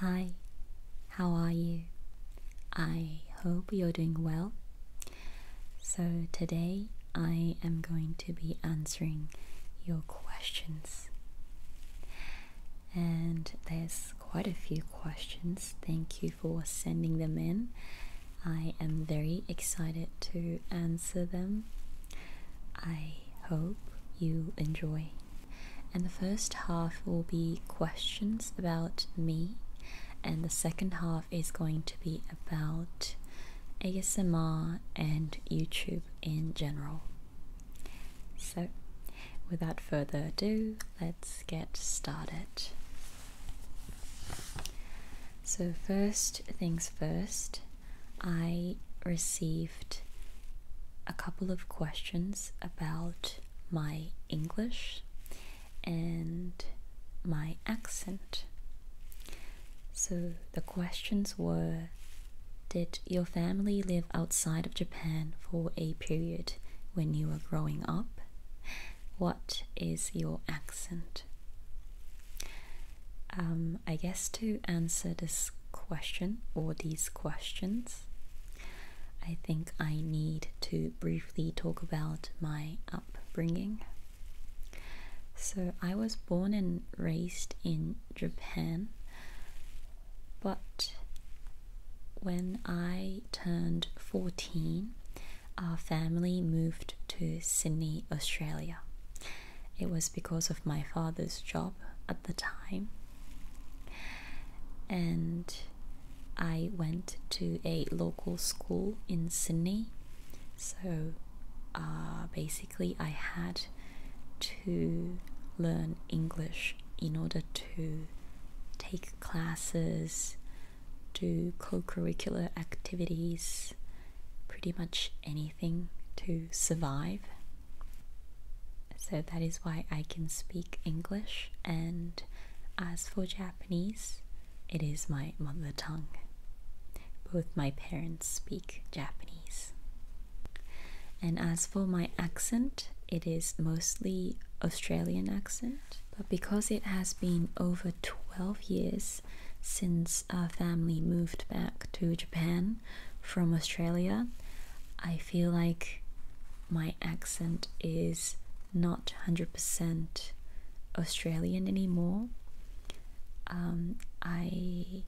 Hi, how are you? I hope you're doing well. So, today I am going to be answering your questions. And there's quite a few questions. Thank you for sending them in. I am very excited to answer them. I hope you enjoy and the first half will be questions about me, and the second half is going to be about ASMR and YouTube in general. So, without further ado, let's get started. So, first things first, I received a couple of questions about my English and my accent. So the questions were Did your family live outside of Japan for a period when you were growing up? What is your accent? Um, I guess to answer this question or these questions, I think I need to briefly talk about my upbringing. So, I was born and raised in Japan, but when I turned 14, our family moved to Sydney, Australia. It was because of my father's job at the time, and I went to a local school in Sydney. So uh, basically, I had to learn English in order to take classes, do co curricular activities, pretty much anything to survive. So that is why I can speak English, and as for Japanese, it is my mother tongue. Both my parents speak Japanese. And as for my accent, it is mostly Australian accent, but because it has been over 12 years since our family moved back to Japan, from Australia, I feel like my accent is not 100% Australian anymore. Um, I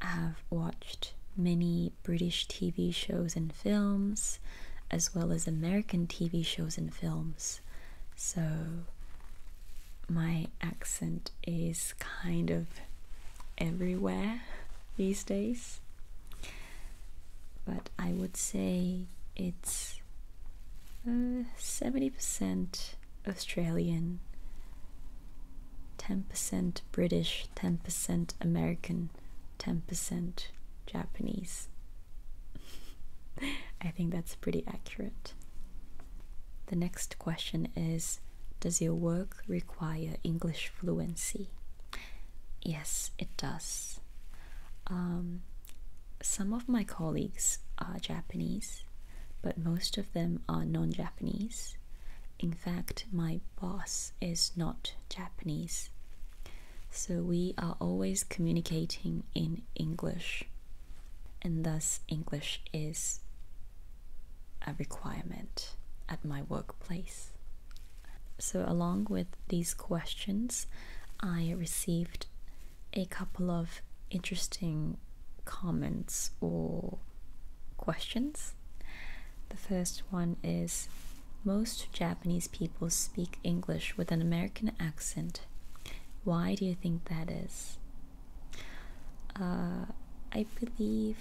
have watched many British TV shows and films, as well as American TV shows and films. So my accent is kind of everywhere these days. But I would say it's 70% uh, Australian, 10% British, 10% American, 10% Japanese. I think that's pretty accurate. The next question is Does your work require English fluency? Yes, it does. Um, some of my colleagues are Japanese, but most of them are non Japanese. In fact, my boss is not Japanese. So we are always communicating in English, and thus English is a requirement at my workplace. So, along with these questions, I received a couple of interesting comments or questions. The first one is Most Japanese people speak English with an American accent. Why do you think that is? Uh, I believe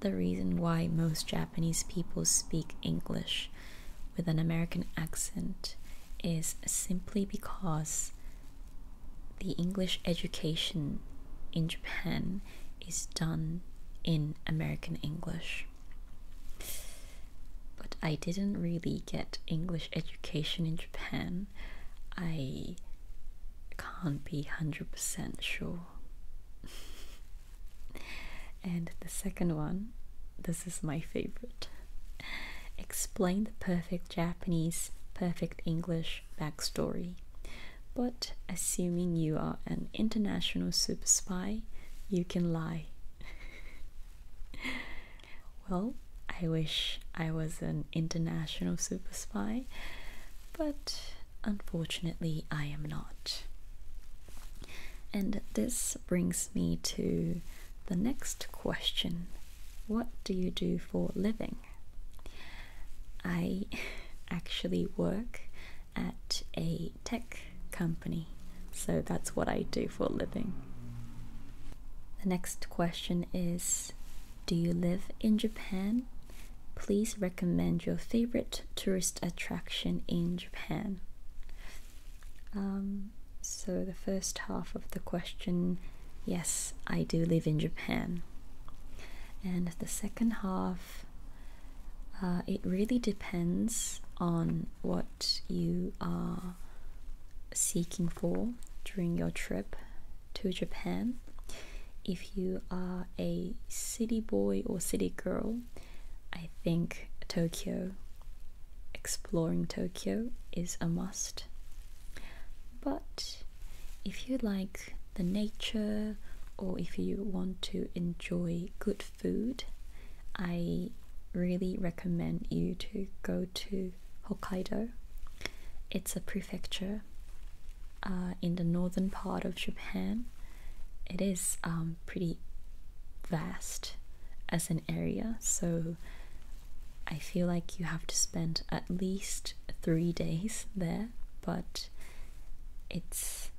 the reason why most Japanese people speak English with an American accent is simply because the English education in Japan is done in American English. But I didn't really get English education in Japan. I can't be 100% sure. And the second one, this is my favorite. Explain the perfect Japanese, perfect English backstory. But assuming you are an international super spy, you can lie. well, I wish I was an international super spy, but unfortunately, I am not. And this brings me to the next question What do you do for living? I actually work at a tech company, so that's what I do for living. The next question is Do you live in Japan? Please recommend your favorite tourist attraction in Japan. Um, so, the first half of the question yes, I do live in Japan. And the second half, uh, it really depends on what you are seeking for during your trip to Japan. If you are a city boy or city girl, I think Tokyo, exploring Tokyo, is a must. But if you like the nature or if you want to enjoy good food, I really recommend you to go to Hokkaido. It's a prefecture uh, in the northern part of Japan, it is um, pretty vast as an area. So I feel like you have to spend at least three days there, but it's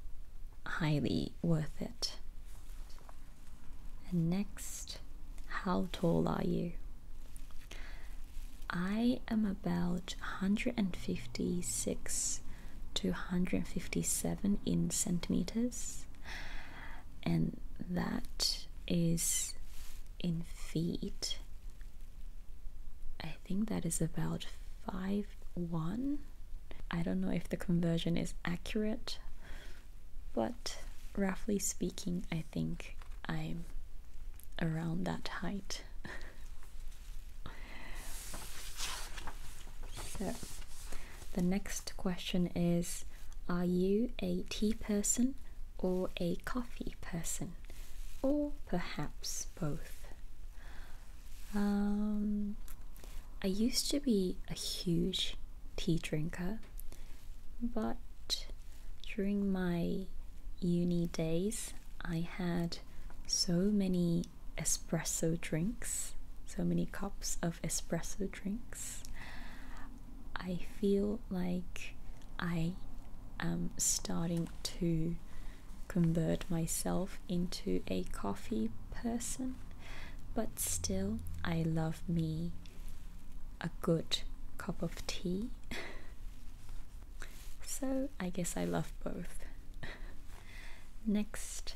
highly worth it. next, how tall are you? I am about 156 to 157 in centimeters, and that is in feet. I think that is about 5'1. I don't know if the conversion is accurate, but roughly speaking, I think I'm around that height. So, the next question is Are you a tea person or a coffee person? Or perhaps both? Um, I used to be a huge tea drinker, but during my uni days, I had so many espresso drinks, so many cups of espresso drinks. I feel like I am starting to convert myself into a coffee person, but still, I love me a good cup of tea. so, I guess I love both. Next,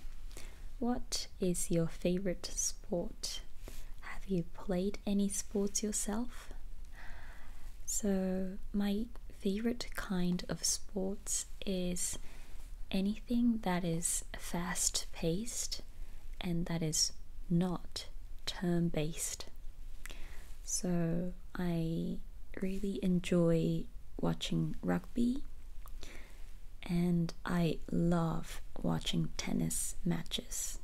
what is your favorite sport? Have you played any sports yourself? So, my favorite kind of sports is anything that is fast paced and that is not term based. So, I really enjoy watching and I love watching tennis matches.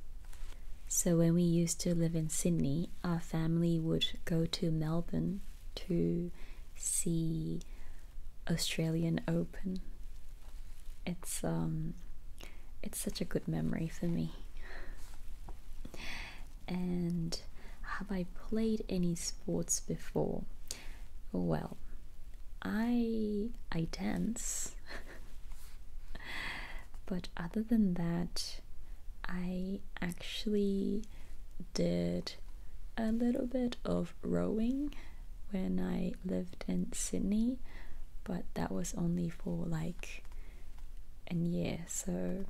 So, when we used to live in Sydney, our family would go to Melbourne to see Australian Open. It's um it's such a good memory for me. And have I played any sports before? Well, I I dance. but other than that, I actually did a little bit of rowing when I lived in Sydney, but that was only for like a year, so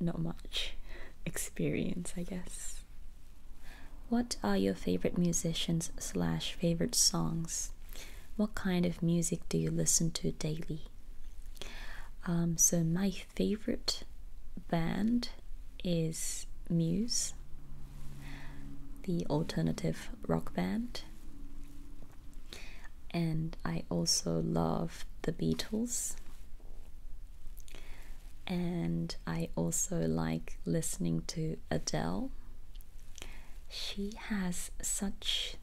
not much experience, I guess. What are your favorite musicians slash favorite songs? What kind of music do you listen to daily? Um, so my favorite band is Muse, the alternative rock band. And I also love the Beatles and I also like listening to Adele. She has such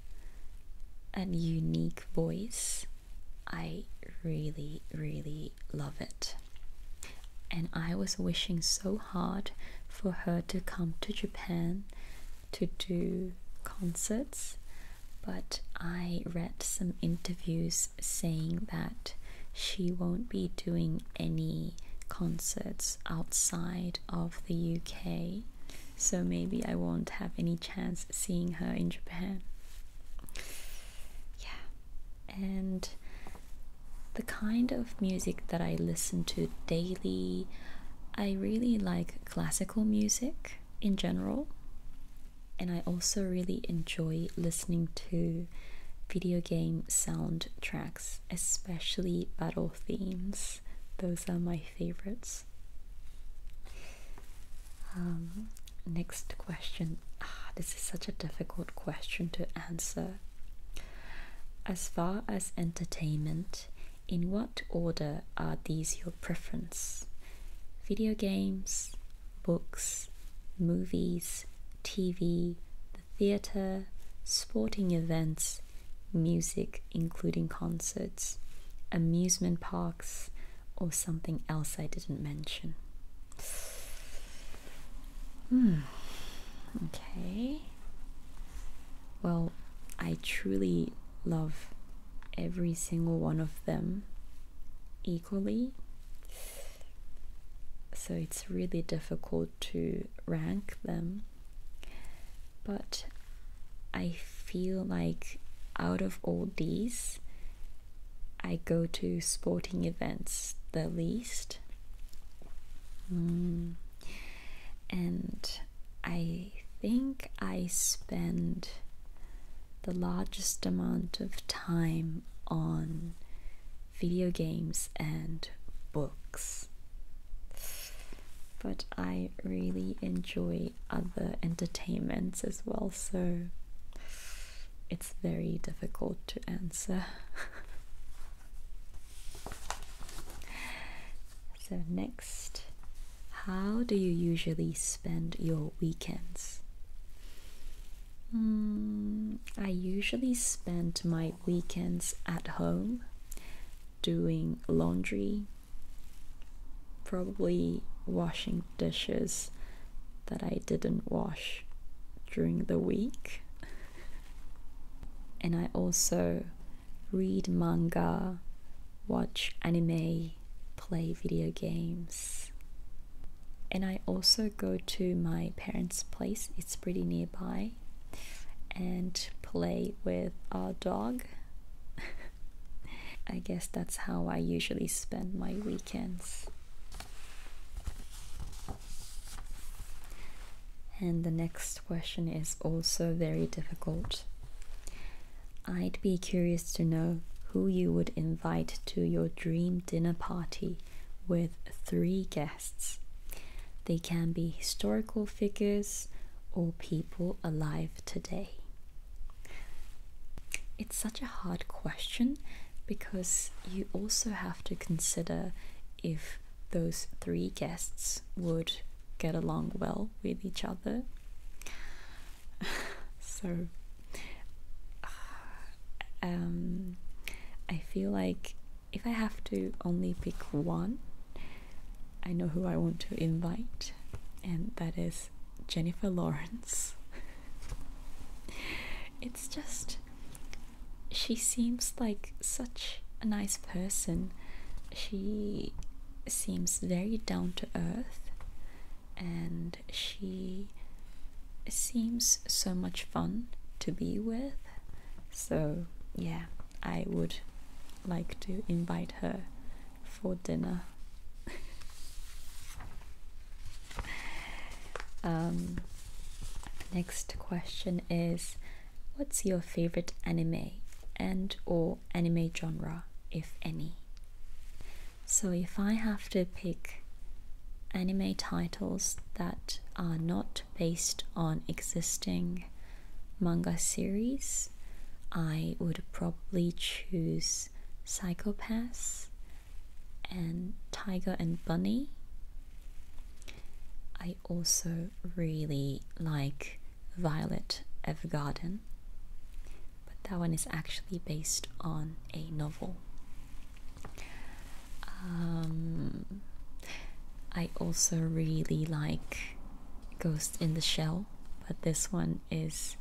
a unique voice. I really, really love it. And I was wishing so hard for her to come to Japan to do concerts, but I read some interviews saying that she won't be doing any concerts outside of the UK, so maybe I won't have any chance seeing her in Japan. Yeah, and the kind of music that I listen to daily, I really like classical music in general and I also really enjoy listening to video game soundtracks, especially battle themes. Those are my favorites. Um, next question. Ah, this is such a difficult question to answer. As far as entertainment, in what order are these your preference? Video games, books, movies, TV, the theatre, sporting events, music, including concerts, amusement parks, or something else I didn't mention. Hmm. Okay. Well, I truly love every single one of them equally so it's really difficult to rank them but i feel like out of all these i go to sporting events the least hmm. and i think i spend the largest amount of time on video games and books. But I really enjoy other entertainments as well, so it's very difficult to answer. so, next, how do you usually spend your weekends? Mm, I usually spend my weekends at home doing laundry, probably washing dishes that I didn't wash during the week. and I also read manga, watch anime, play video games. And I also go to my parents' place, it's pretty nearby, and play with our dog. I guess that's how I usually spend my weekends. And the next question is also very difficult. I'd be curious to know who you would invite to your dream dinner party with three guests. They can be historical figures or people alive today. It's such a hard question because you also have to consider if those three guests would get along well with each other. so um, I feel like if I have to only pick one, I know who I want to invite, and that is Jennifer Lawrence. it's just, she seems like such a nice person. She seems very down to earth and she seems so much fun to be with. So, yeah, I would like to invite her for dinner. um, next question is what's your favorite anime and or anime genre if any so if I have to pick anime titles that are not based on existing manga series, I would probably choose Psychopaths and Tiger and Bunny. I also really like Violet Evergarden but that one is actually based on a novel. Um, I also really like Ghost in the Shell, but this one is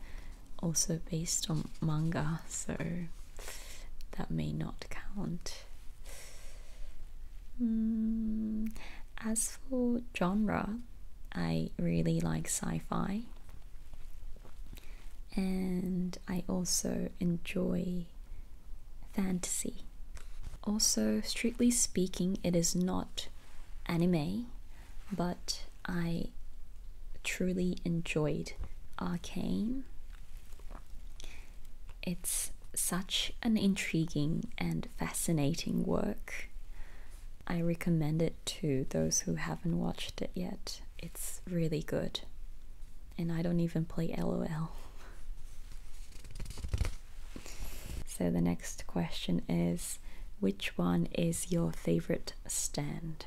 also based on manga, so that may not count. Mm, as for genre, I really like sci fi and I also enjoy fantasy. Also, strictly speaking, it is not anime, but I truly enjoyed Arcane. It's such an intriguing and fascinating work. I recommend it to those who haven't watched it yet it's really good. And I don't even play LOL. so the next question is which one is your favorite stand?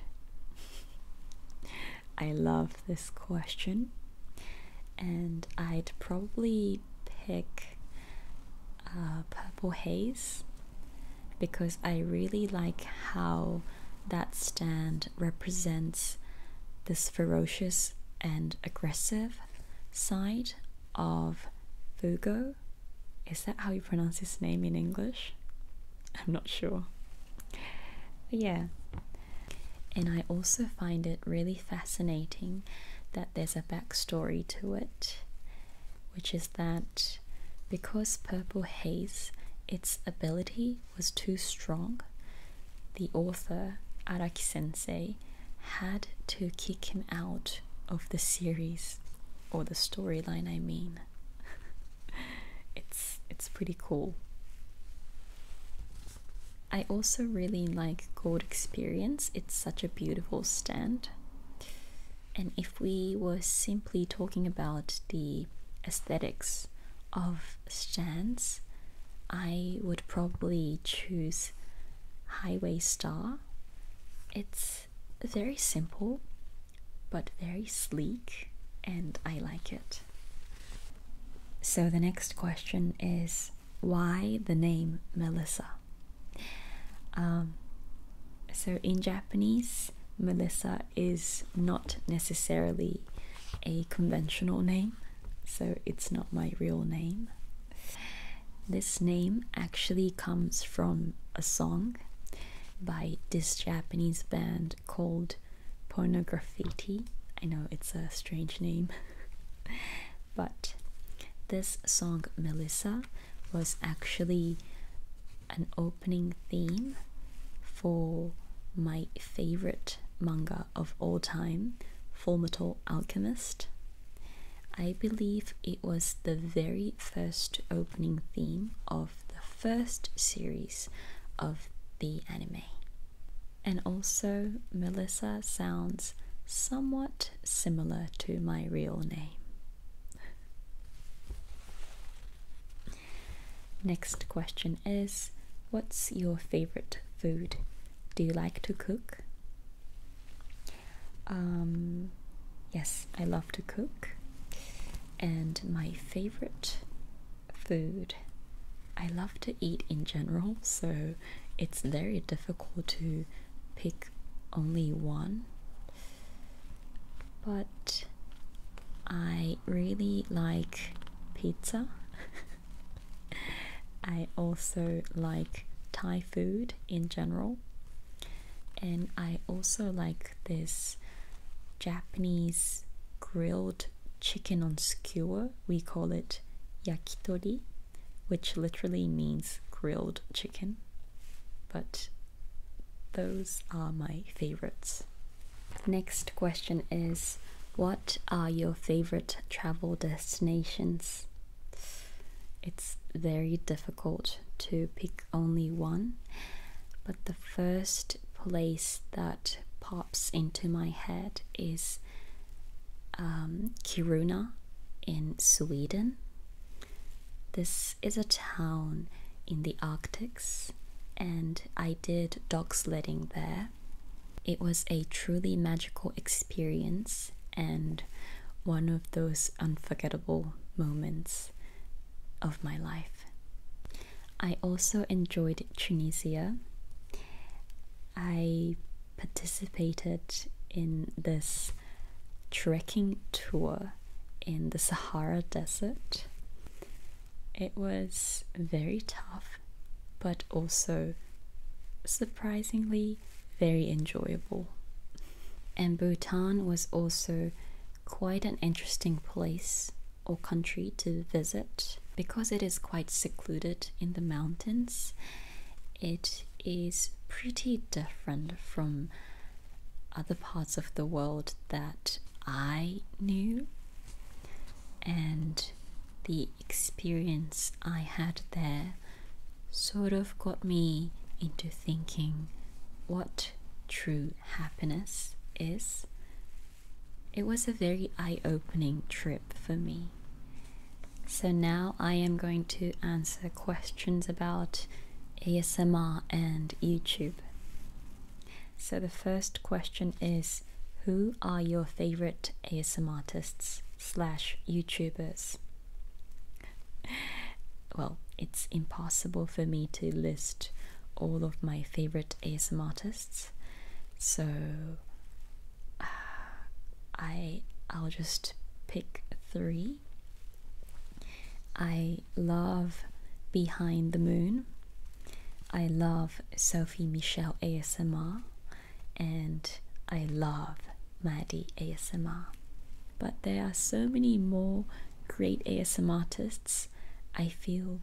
I love this question. And I'd probably pick uh, Purple Haze because I really like how that stand represents this ferocious and aggressive side of Fugo. Is that how you pronounce his name in English? I'm not sure. yeah. And I also find it really fascinating that there's a backstory to it, which is that because purple haze, its ability was too strong, the author, Araki sensei, had to kick him out of the series or the storyline I mean. it's it's pretty cool. I also really like Gold Experience. It's such a beautiful stand. And if we were simply talking about the aesthetics of stands, I would probably choose Highway Star. It's very simple but very sleek, and I like it. So, the next question is why the name Melissa? Um, so, in Japanese, Melissa is not necessarily a conventional name, so it's not my real name. This name actually comes from a song by this Japanese band called Pornograffiti. I know it's a strange name, but this song Melissa was actually an open opening theme for my favorite manga of all time, Fullmetal Alchemist. I believe it was the very first opening theme of the first series of the anime. And also, Melissa sounds somewhat similar to my real name. Next question is What's your favorite food? Do you like to cook? Um, yes, I love to cook. And my favorite food, I love to eat in general, so it's very difficult to pick only one but I really like pizza. I also like Thai food in general, and I also like this Japanese grilled chicken on skewer. We call it yakitori, which literally means grilled chicken, but those are my favorites. Next question is What are your favorite travel destinations? It's very difficult to pick only one, but the first place that pops into my head is um, Kiruna in Sweden. This is a town in the Arctic and I did dog sledding there. It was a truly magical experience and one of those unforgettable moments of my life. I also enjoyed Tunisia. I participated in this trekking tour in the Sahara Desert. It was very tough, but also surprisingly very enjoyable. And Bhutan was also quite an interesting place or country to visit because it is quite secluded in the mountains. It is pretty different from other parts of the world that I knew and the experience I had there sort of got me into thinking what true happiness is. It was a very eye opening trip for me. So now I am going to answer questions about ASMR and YouTube. So the first question is Who are your favorite ASM artists slash YouTubers? Well, it's impossible for me to list all of my favorite ASM artists. So I I'll just pick three. I I love Behind the Moon. I love Sophie Michelle ASMR and I love Maddie ASMR. But there are so many more great ASMR artists. I feel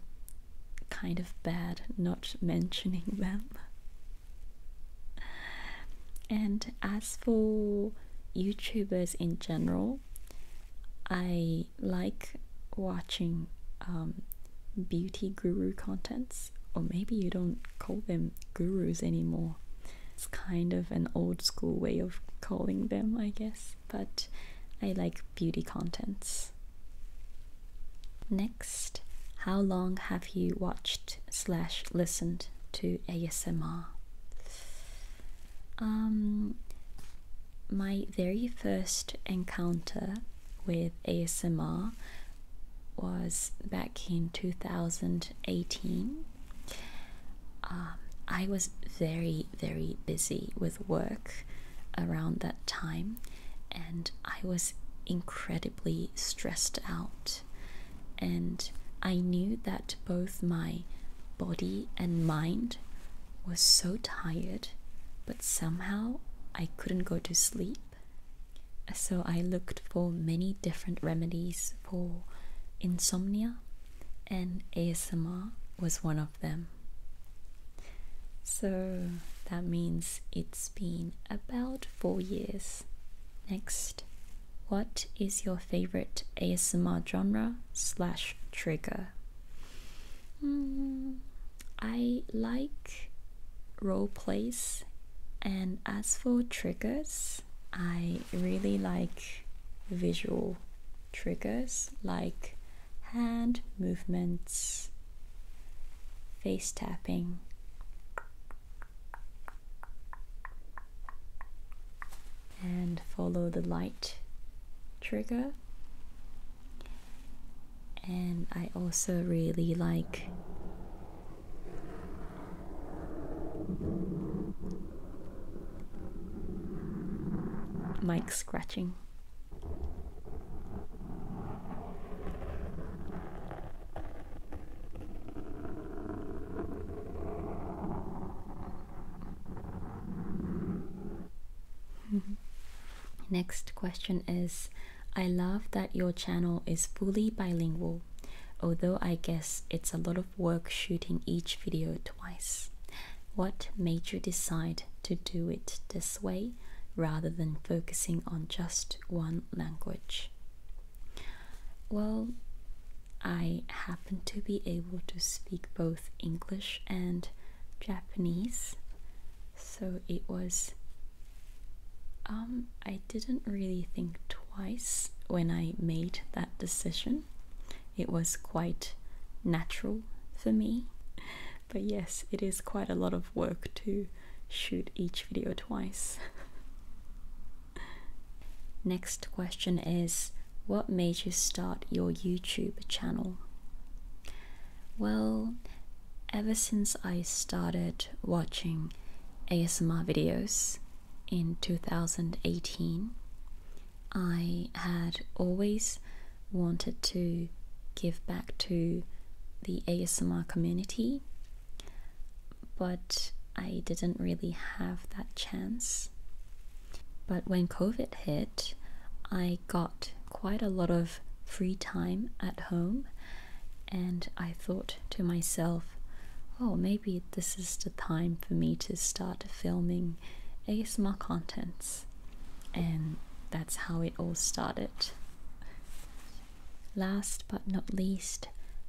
kind of bad not mentioning them. And as for YouTubers in general, I like watching um, beauty guru contents, or maybe you don't call them gurus anymore. It's kind of an old school way of calling them, I guess, but I like beauty contents. Next, how long have you watched slash listened to ASMR? Um, my very first encounter with ASMR was back in 2018. Um, I was very, very busy with work around that time, and I was incredibly stressed out. And I knew that both my body and mind was so tired, but somehow I couldn't go to sleep. So I looked for many different remedies for insomnia, and ASMR was one of them. So that means it's been about four years. Next, what is your favorite ASMR genre slash trigger? Mm, I like role plays, and as for triggers, I really like visual triggers like hand movements, face tapping. And follow the light trigger and I also really like mic scratching. Next question is I love that your channel is fully bilingual, although I guess it's a lot of work shooting each video twice. What made you decide to do it this way rather than focusing on just one language? Well, I happen to be able to speak both English and Japanese. So it was. Um, I didn't really think twice when I made that decision. It was quite natural for me. But yes, it is quite a lot of work to shoot each video twice. Next question is What made you start your YouTube channel? Well, ever since I started watching ASMR videos in 2018, I had always wanted to give back to the ASMR community, but I didn't really have that chance. But when COVID hit, I got quite a lot of free time at home, and I thought to myself, oh, maybe this is the time for me to start filming ASMR contents. And that's how it all started. Last but not least,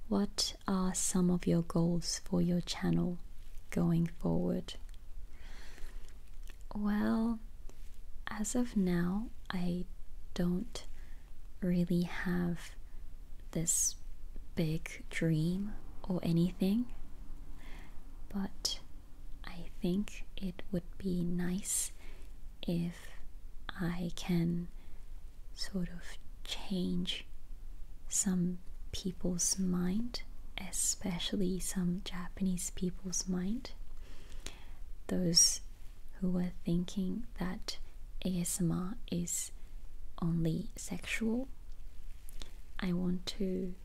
what are some of your goals for your channel going forward? Well, as of now, I don't really have this big dream or anything, but I think it would be nice if I can sort of change some people's mind, especially some Japanese people's mind. Those who are thinking that ASMR is only sexual, I want to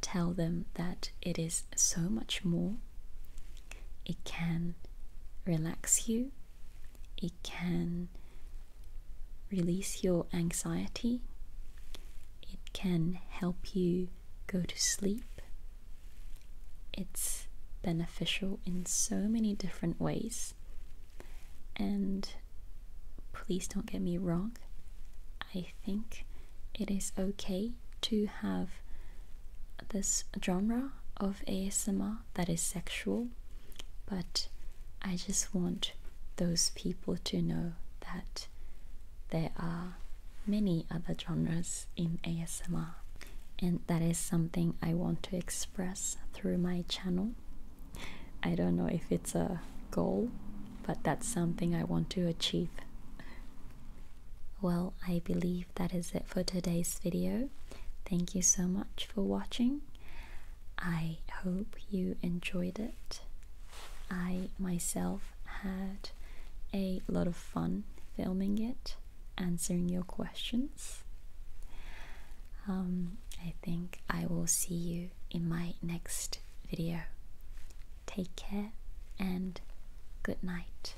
tell them that it is so much more. It can relax you, it can release your anxiety, it can help you go to sleep. It's beneficial in so many different ways. And please don't get me wrong, I think it is okay to have this genre of ASMR that is sexual, but I just want those people to know that they are many other genres in ASMR, and that is something I want to express through my channel. I don't know if it's a goal, but that's something I want to achieve. Well, I believe that is it for today's video. Thank you so much for watching. I hope you enjoyed it. I myself had a lot of fun filming it, answering your questions. Um, I think I will see you in my next video. Take care and good night.